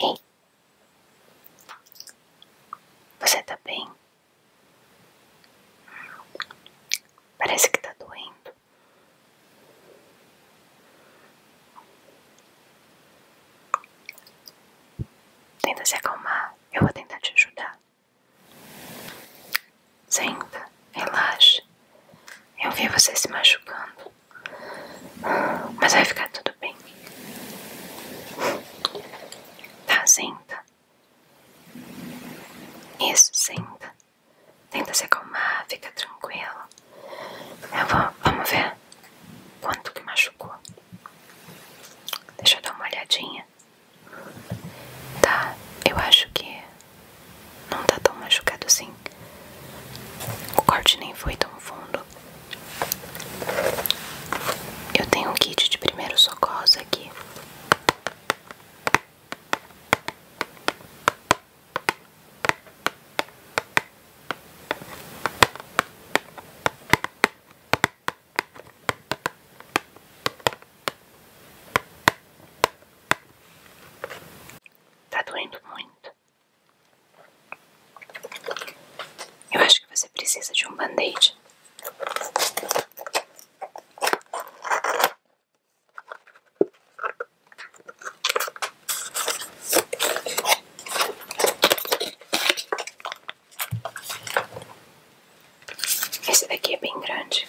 Ei, você tá bem? Parece que tá doendo. Tenta se acalmar, eu vou tentar te ajudar. Senta, relaxe. Eu vi você se machucando. Mas vai ficar tudo bem. Tá, senta. Isso, senta. Tenta se acalmar, fica tranquilo. Eu vou, vamos ver quanto que machucou. Deixa eu dar uma olhadinha. Tá, eu acho que não tá tão machucado assim. O corte nem foi tão fundo. Eu tenho um kit de primeiros socorros aqui. Tá doendo muito. Eu acho que você precisa de um band-aid. Esse daqui é bem grande.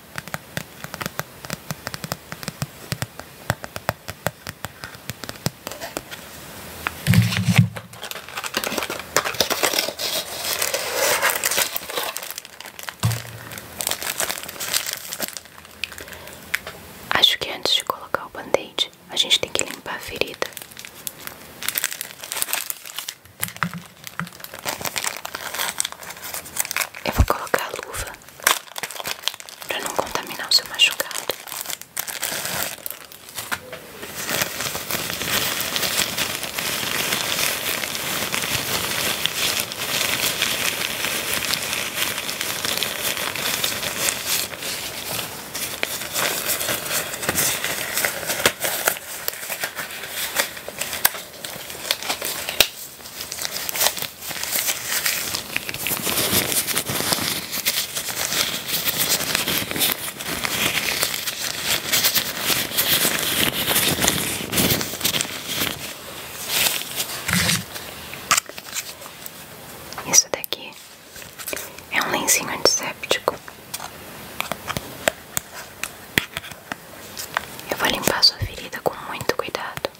Acho que antes de colocar o band a gente tem que limpar a ferida. Eu vou colocar a luva para não contaminar o seu machucado. Isso daqui é um lencinho antisséptico. Eu vou limpar sua ferida com muito cuidado.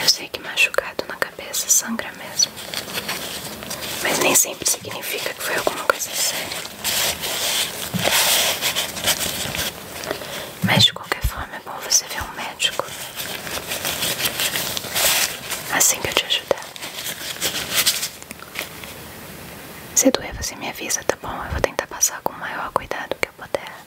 Eu sei que machucado na cabeça sangra mesmo, mas nem sempre significa que foi alguma coisa séria. Mas de qualquer forma é bom você ver um médico assim que eu te ajudar. Se doer, você me avisa, tá bom? Eu vou tentar passar com o maior cuidado que eu puder.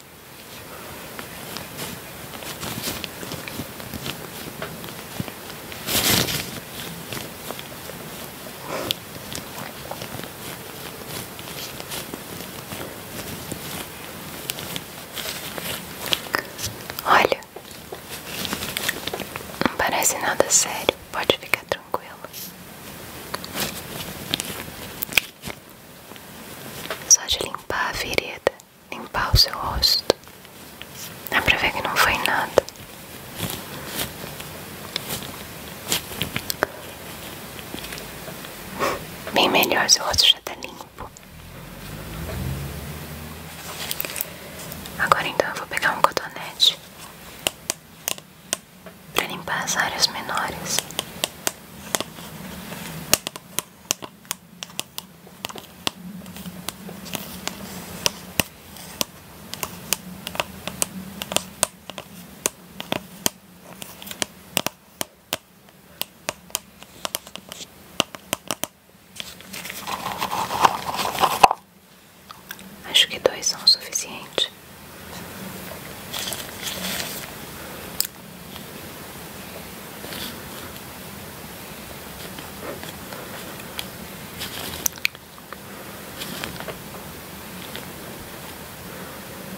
Olha, não parece nada sério, pode ficar tranquilo. Só de limpar a ferida limpar o seu rosto. Dá pra ver que não foi nada. Bem melhor, seu rosto já tá limpo. Agora então eu vou pegar um cotonete para limpar as áreas menores. Acho que dois são o suficiente.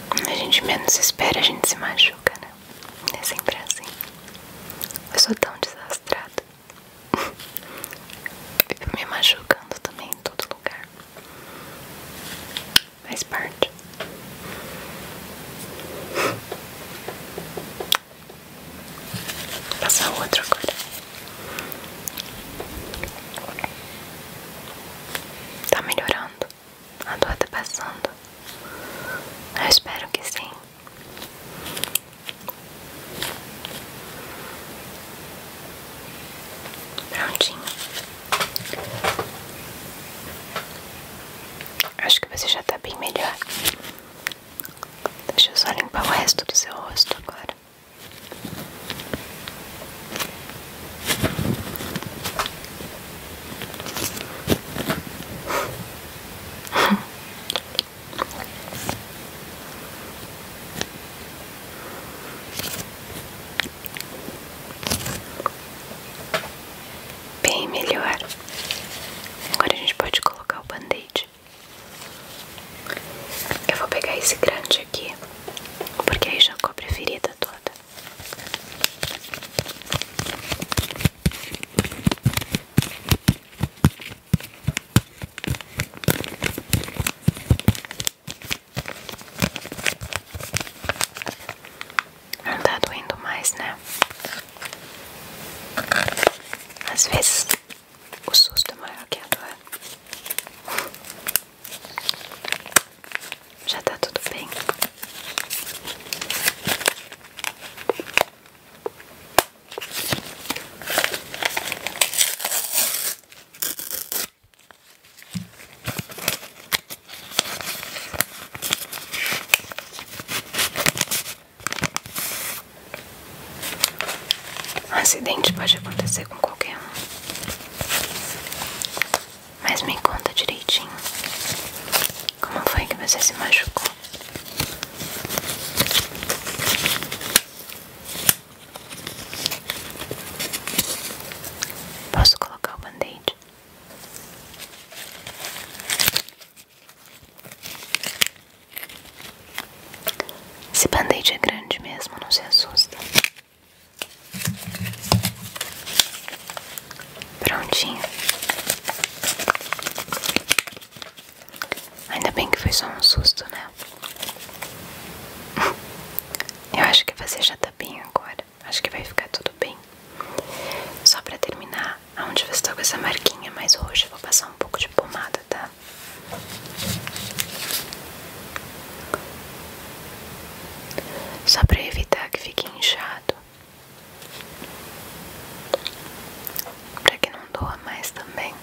Quando a gente menos espera, a gente se machuca, né? É sempre assim. Eu sou tão desastrada. Vivo me machucando também em todo lugar. Faz parte. Vou passar outra coisa Tá melhorando. A dor tá passando. Eu espero que sim. Prontinho. Acho que você já está bem melhor. Deixa eu só limpar o resto do seu rosto agora. Bem melhor. Agora a gente pode colocar o band-aid. Eu vou pegar esse grande aqui, porque aí já cobre a ferida toda. Não tá doendo mais, né? Às vezes o susto é maior que a dor. Já tá tudo bem. Um acidente pode acontecer com qualquer um. Mas me conta direitinho. Como foi que você se machucou? Posso colocar o band-aid? Esse band é grande mesmo, não se assusta. Prontinho. Ainda bem que foi só um susto, né? Eu acho que você já tá bem agora. Acho que vai ficar tudo bem. Só pra terminar, aonde você tá com essa marquinha mais roxa, eu vou passar um pouco de pomada, tá? Só pra evitar que fique inchado. Pra que não doa mais também.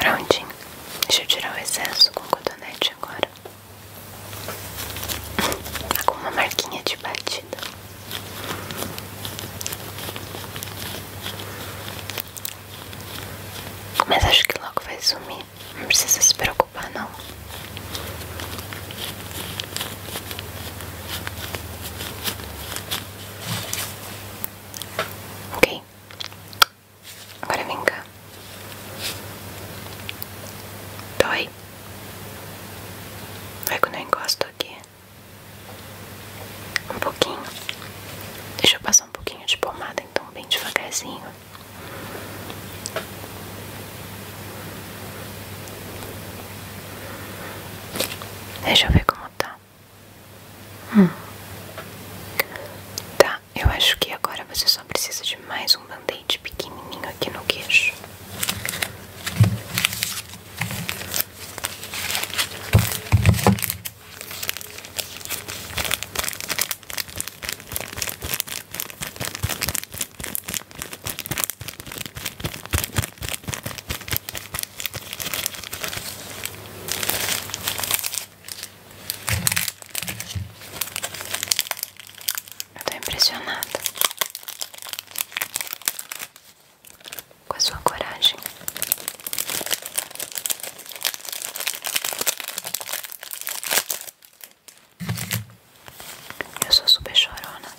Prontinho. Deixa eu tirar o excesso com o cotonete agora. Tá com uma marquinha de batida. Mas acho que logo vai sumir. Não precisa se preocupar não. Ok. Agora vem cá. Dói. Dói quando eu encosto aqui. Um pouquinho. Deixa eu passar um pouquinho de pomada, então, bem devagarzinho. Deixa eu ver como tá. Hum. Tá, eu acho que agora você só precisa de mais um band-aid pequenininho aqui no queixo. Eu tô impressionada com a sua coragem. Eu sou super chorona.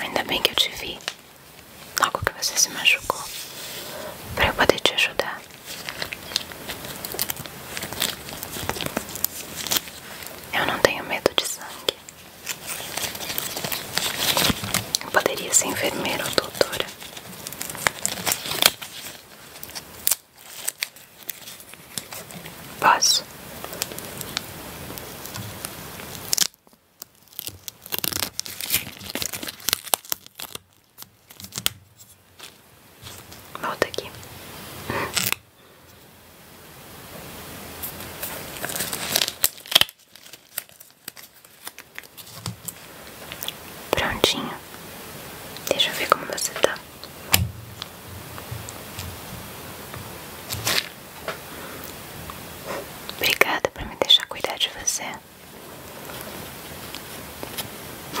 Ainda bem que eu te vi logo que você se machucou, para eu poder te ajudar. Eu não tenho medo de sangue poderia ser enfermeira ou doutora. Posso? Volta aqui. Prontinho. Deixa eu ver como você tá. Obrigada por me deixar cuidar de você.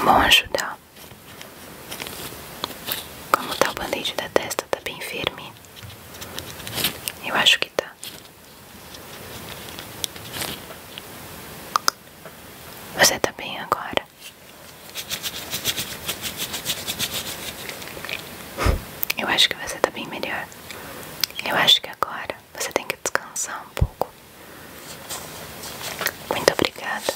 Bom ajudar. Como tá o band da testa, tá bem firme. Eu acho que tá. Você tá bem agora? Eu acho que você tá bem melhor. Eu acho que agora você tem que descansar um pouco. Muito obrigada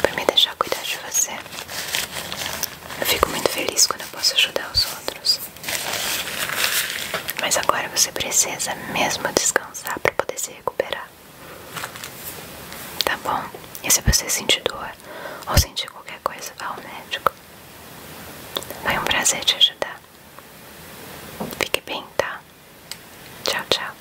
por me deixar cuidar de você. É. Eu fico muito feliz quando eu posso ajudar os outros. Mas agora você precisa mesmo descansar para poder se recuperar. Tá bom? E se você sentir dor ou sentir qualquer coisa, vá ao médico. Foi um prazer te ajudar. Fique bem, tá? Tchau, tchau.